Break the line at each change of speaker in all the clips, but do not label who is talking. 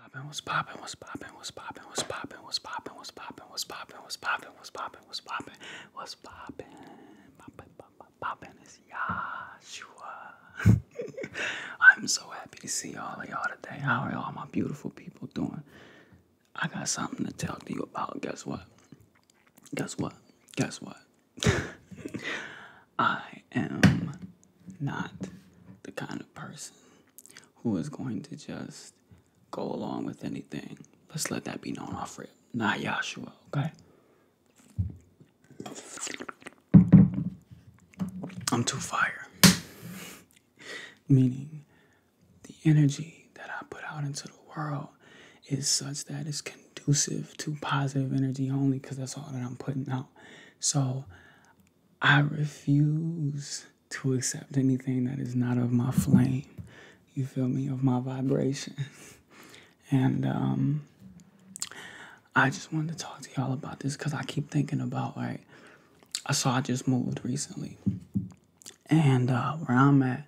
poppin', what's poppin', what's poppin', what's poppin', what's poppin', what's poppin', what's poppin', what's poppin', what's poppin', what's poppin', what's poppin', what's poppin', poppin', poppin', poppin' is Yahshua. I'm so happy to see all of y'all today. How are all my beautiful people doing? I got something to tell you about. Guess what? Guess what? Guess what? I am not the kind of person who is going to just go along with anything. Let's let that be known off rip. Not Joshua. okay? I'm too fire. Meaning, the energy that I put out into the world is such that it's conducive to positive energy only because that's all that I'm putting out. So, I refuse to accept anything that is not of my flame. You feel me? Of my vibration. and um, I just wanted to talk to y'all about this because I keep thinking about, like, I saw I just moved recently. And uh, where I'm at,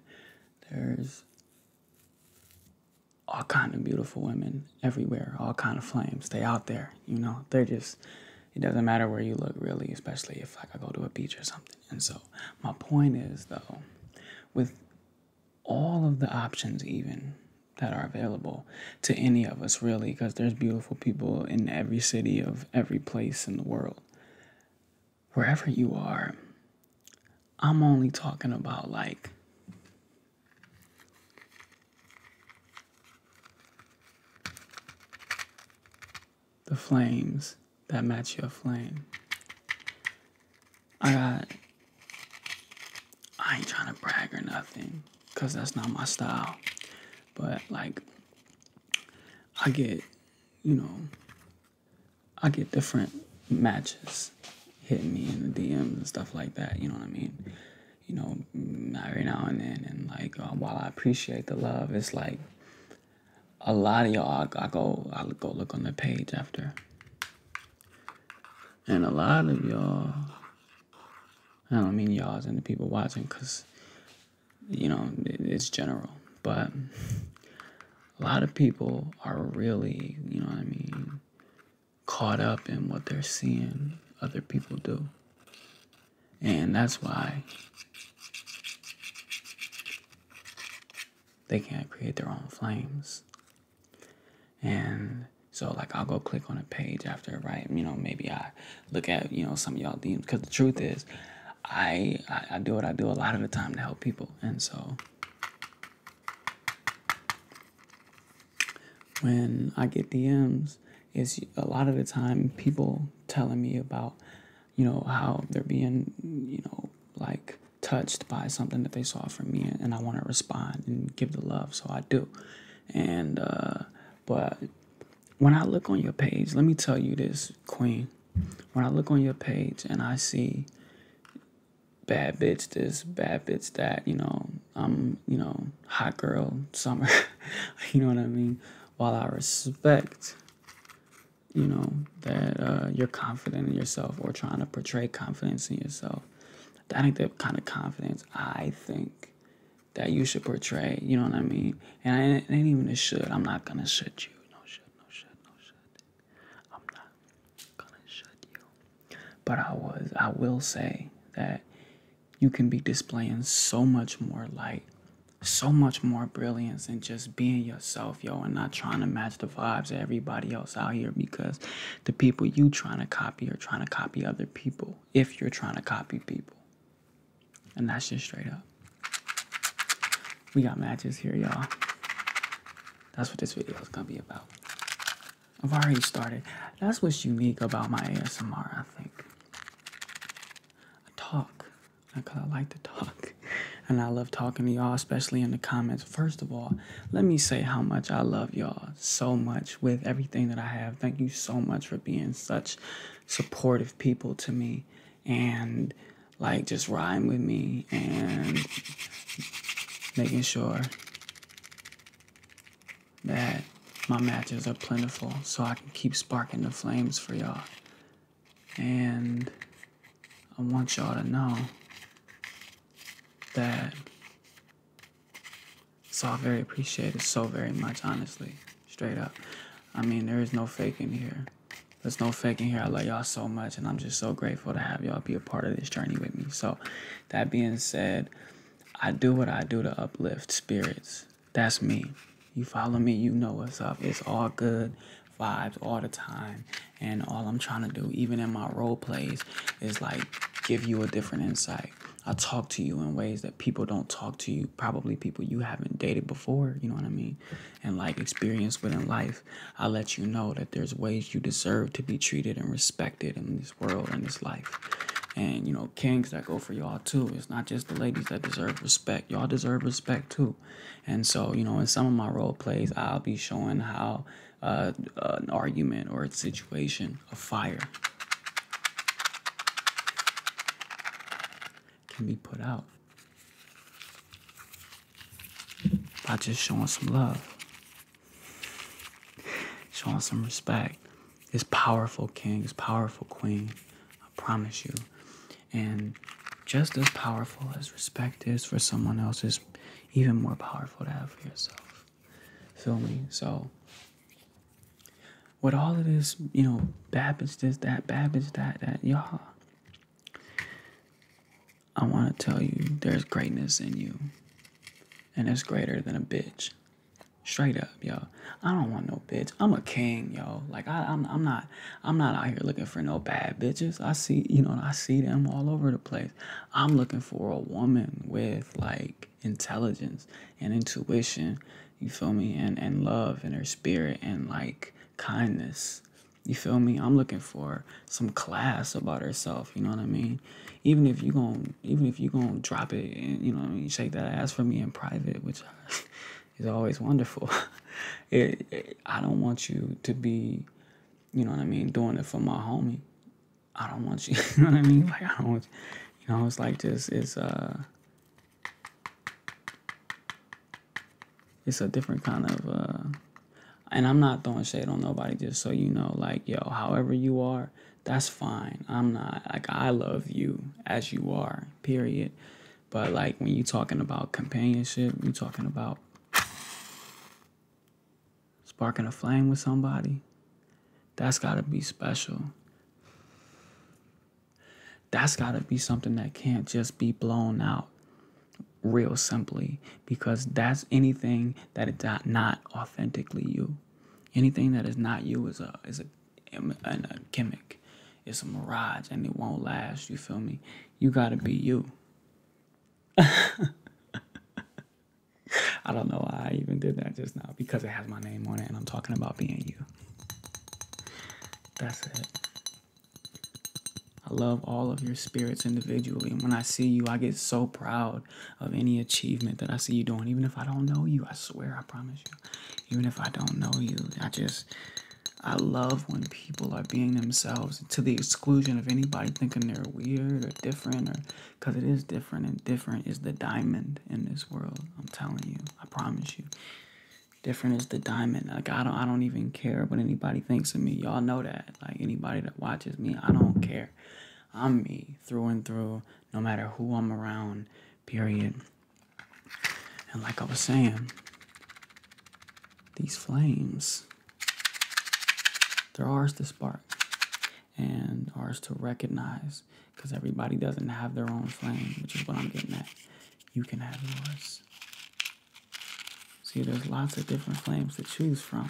there's all kind of beautiful women everywhere, all kind of flames. stay out there, you know. They're just it doesn't matter where you look really, especially if like I go to a beach or something. And so my point is though, with all of the options even that are available to any of us really, because there's beautiful people in every city of every place in the world. Wherever you are, I'm only talking about like the flames that match your flame. I got, I ain't trying to brag or nothing, cause that's not my style. But like, I get, you know, I get different matches hitting me in the DMs and stuff like that. You know what I mean? you know, every now and then. And like, uh, while I appreciate the love, it's like a lot of y'all. I, go, I go look on the page after, and a lot of y'all. I don't mean y'all as in the people watching, cause you know it's general, but a lot of people are really, you know what I mean, caught up in what they're seeing other people do. And that's why they can't create their own flames. And so, like, I'll go click on a page after, right? You know, maybe I look at, you know, some of y'all DMs. Because the truth is, I, I do what I do a lot of the time to help people. And so, when I get DMs, it's a lot of the time people telling me about, you know, how they're being, you know, like touched by something that they saw from me, and I want to respond and give the love, so I do. And uh, but when I look on your page, let me tell you this, Queen. When I look on your page and I see bad bitch this, bad bitch that, you know, I'm, you know, hot girl summer. you know what I mean? While I respect, you know, that uh, you're confident in yourself or trying to portray confidence in yourself, that ain't the kind of confidence I think that you should portray. You know what I mean? And I ain't, ain't even a should. I'm not gonna shut you. No shut, no shut, no shut. I'm not gonna shut you. But I was, I will say that you can be displaying so much more light, so much more brilliance, and just being yourself, yo, and not trying to match the vibes of everybody else out here because the people you trying to copy are trying to copy other people if you're trying to copy people. And that's just straight up. We got matches here, y'all. That's what this video is gonna be about. I've already started. That's what's unique about my ASMR, I think. I talk because I like to talk and I love talking to y'all, especially in the comments. First of all, let me say how much I love y'all so much with everything that I have. Thank you so much for being such supportive people to me and like just riding with me and making sure that my matches are plentiful so I can keep sparking the flames for y'all. And I want y'all to know that it's all very appreciated so very much, honestly. Straight up. I mean, there is no faking here. There's no faking here. I love y'all so much, and I'm just so grateful to have y'all be a part of this journey with me. So, that being said, I do what I do to uplift spirits. That's me. You follow me, you know what's up. It's all good vibes all the time. And all I'm trying to do, even in my role plays, is like give you a different insight. I talk to you in ways that people don't talk to you, probably people you haven't dated before, you know what I mean? And like experience within life. I let you know that there's ways you deserve to be treated and respected and world and this life. And you know, kings that go for y'all too. It's not just the ladies that deserve respect. Y'all deserve respect too. And so, you know, in some of my role plays, I'll be showing how uh, an argument or a situation, a fire, can be put out by just showing some love, showing some respect. This powerful king, this powerful queen, I promise you. And just as powerful as respect is for someone else, is even more powerful to have for yourself. Feel me? So, with all of this, you know, Babbage this, that, Babbage that, that, y'all, I want to tell you there's greatness in you. And it's greater than a bitch. Straight up, y'all. I don't want no bitch. I'm a king, yo. Like I, I'm, not, I'm not out here looking for no bad bitches. I see, you know, I see them all over the place. I'm looking for a woman with like intelligence and intuition. You feel me? And and love and her spirit and like kindness. You feel me? I'm looking for some class about herself. You know what I mean? Even if you going even if you gonna drop it and you know I mean shake that ass for me in private, which is always wonderful. I don't want you to be, you know what I mean, doing it for my homie. I don't want you, you know what I mean? Like I don't want you, know, it's like this it's uh it's a different kind of uh and I'm not throwing shade on nobody just so you know, like yo, however you are that's fine. I'm not like I love you as you are, period. But like when you are talking about companionship, you are talking about sparking a flame with somebody, that's gotta be special. That's gotta be something that can't just be blown out real simply because that's anything that is not authentically you. Anything that is not you is a is a a gimmick. It's a mirage and it won't last. You feel me? You gotta be you. I don't know why I even did that just now because it has my name on it and I'm talking about being you. That's it. I love all of your spirits individually. And when I see you, I get so proud of any achievement that I see you doing, even if I don't know you. I swear, I promise you. Even if I don't know you, I just I love when people are being themselves to the exclusion of anybody thinking they're weird or different or because it is different and different is the diamond in this world. I'm telling you, I promise you. Different is the diamond. Like I don't I don't even care what anybody thinks of me. Y'all know that. Like anybody that watches me, I don't care. I'm me through and through no matter who I'm around, period. And like I was saying, these flames, they're ours to spark and ours to recognize because everybody doesn't have their own flame, which is what I'm getting at. You can have yours. See, there's lots of different flames to choose from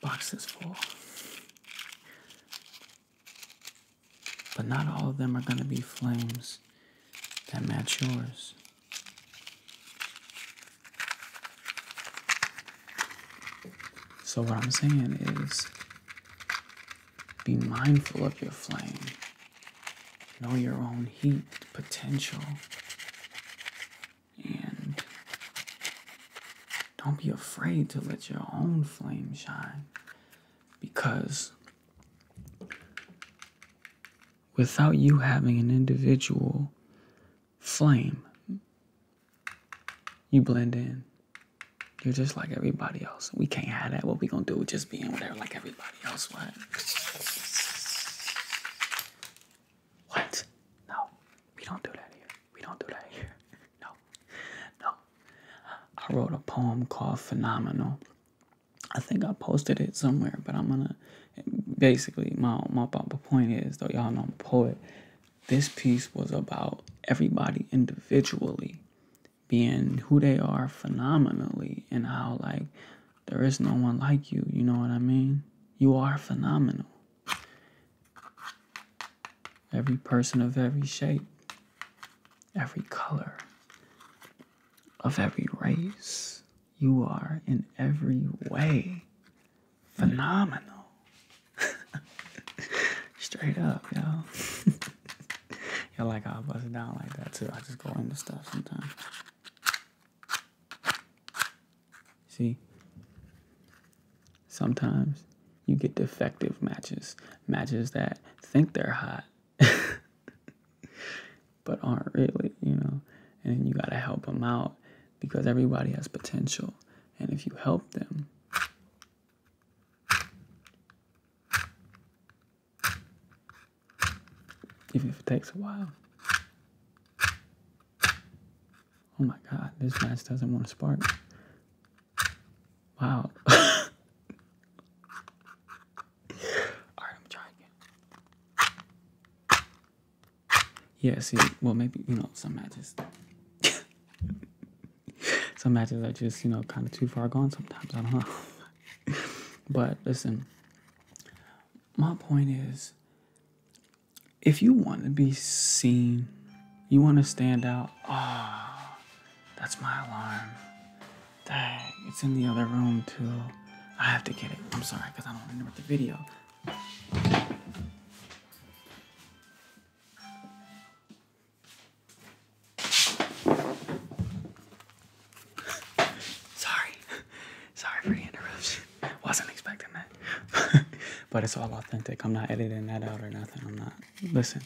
boxes full. But not all of them are going to be flames that match yours. So, what I'm saying is be mindful of your flame know your own heat potential, and don't be afraid to let your own flame shine because without you having an individual flame, you blend in. You're just like everybody else. We can't hide that. What we gonna do is just be in whatever like everybody knows what? What? No, we don't do that here. We don't do that here. No, no. I wrote a poem called Phenomenal. I think I posted it somewhere, but I'm gonna. Basically, my my, my point is though, y'all know I'm a poet. This piece was about everybody individually being who they are phenomenally and how like there is no one like you, you know what I mean? You are phenomenal. Every person of every shape, every color, of every race, you are in every way phenomenal. Straight up, y'all. y'all like I'll bust it down like that too. I just go into stuff sometimes. See? Sometimes you get defective matches, matches that think they're hot, but aren't really, you know? And you gotta help them out because everybody has potential. And if you help them, even if it takes a while. Oh my god, this match doesn't want to spark. Wow. Alright, I'm trying again. Yeah, see, well, maybe, you know, some matches. some matches are just, you know, kind of too far gone sometimes. I don't know. but listen, my point is if you want to be seen, you want to stand out. Ah, oh, that's my alarm. Dang, it's in the other room too. I have to get it. I'm sorry because I don't remember the video. Sorry. Sorry for the interruption. Wasn't expecting that. but it's all authentic. I'm not editing that out or nothing. I'm not. Listen,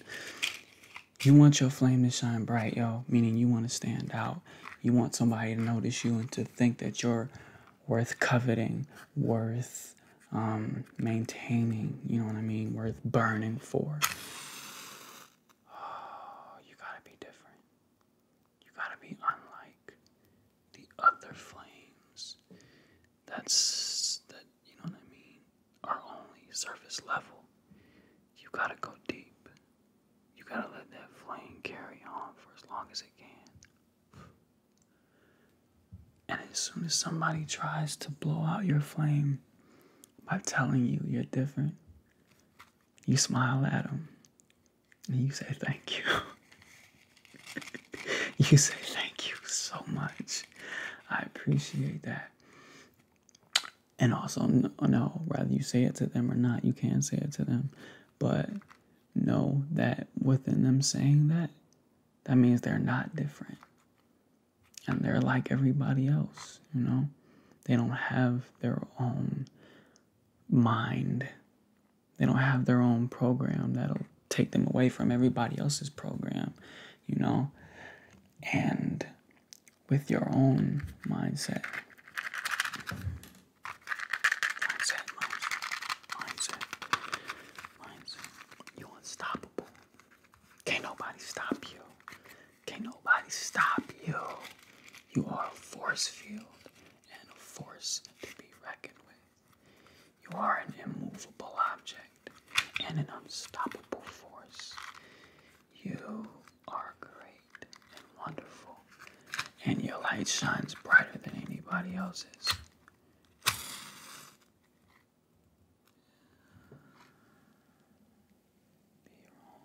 you want your flame to shine bright, yo, meaning you want to stand out. You want somebody to notice you and to think that you're worth coveting, worth um, maintaining, you know what I mean, worth burning for. you gotta be different. You gotta be unlike the other flames. That's that, you know what I mean? Are only surface level. You gotta go deep. You gotta let that flame carry on for as long as it can. And as soon as somebody tries to blow out your flame by telling you you're different, you smile at them and you say thank you. you say thank you so much. I appreciate that. And also, no, whether you say it to them or not, you can say it to them. But know that within them saying that, that means they're not different. And they're like everybody else, you know? They don't have their own mind. They don't have their own program that'll take them away from everybody else's program, you know? And with your own mindset. Mindset, mindset, mindset. You're unstoppable. Can't nobody stop you. Can nobody stop you? You are a force field and a force to be reckoned with. You are an immovable object and an unstoppable force. You are great and wonderful, and your light shines brighter than anybody else's. Be wrong.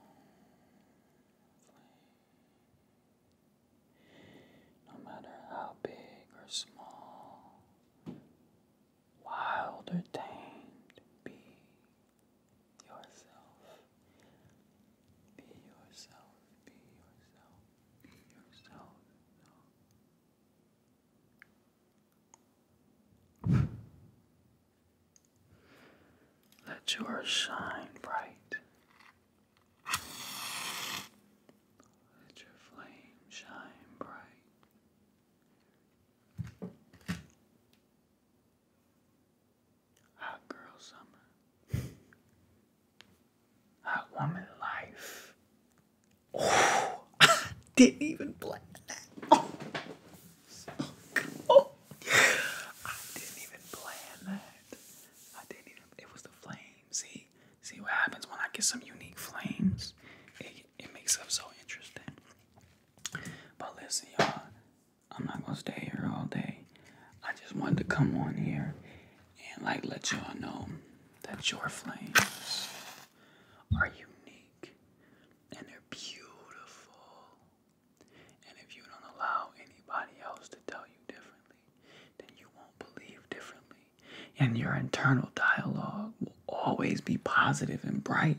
No matter how big or small, wild or tamed, be yourself. Be yourself, be yourself, be yourself. Let yours shine bright. Let your flame shine bright. Hot girl summer. Hot woman life. didn't even plan so I didn't even plan that. I didn't even, it was the flames. See, see what happens when I get some unique flames. It, it makes up so interesting. But listen, y'all, I'm not gonna stay here all day. I just wanted to come on here and like let y'all know that your flames are unique and they're beautiful. And if you don't allow anybody else to tell you differently, then you won't believe differently. And your internal dialogue will always be positive and bright.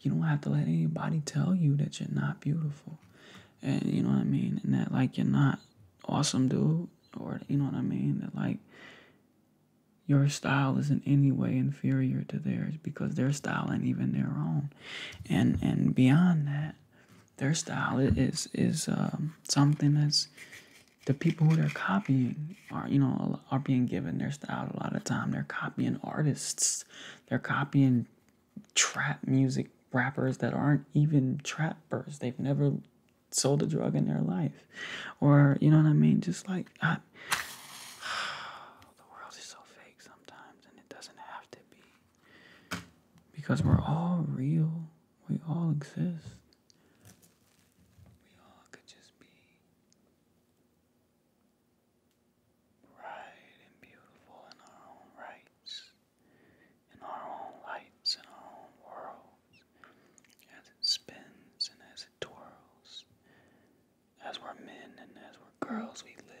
You don't have to let anybody tell you that you're not beautiful. And you know what I mean? And that, like, you're not awesome, dude. Or, you know what I mean? That, like, your style is in any way inferior to theirs because their style and even their own. And and beyond that, their style is is um, something that's the people who they're copying are you know are being given their style a lot of time they're copying artists they're copying trap music rappers that aren't even trappers they've never sold a drug in their life or you know what i mean just like the world is so fake sometimes and it doesn't have to be because we're all real. We all exist. We all could just be bright and beautiful in our own rights, in our own lights, in our own worlds, as it spins and as it twirls. As we're men and as we're girls, we live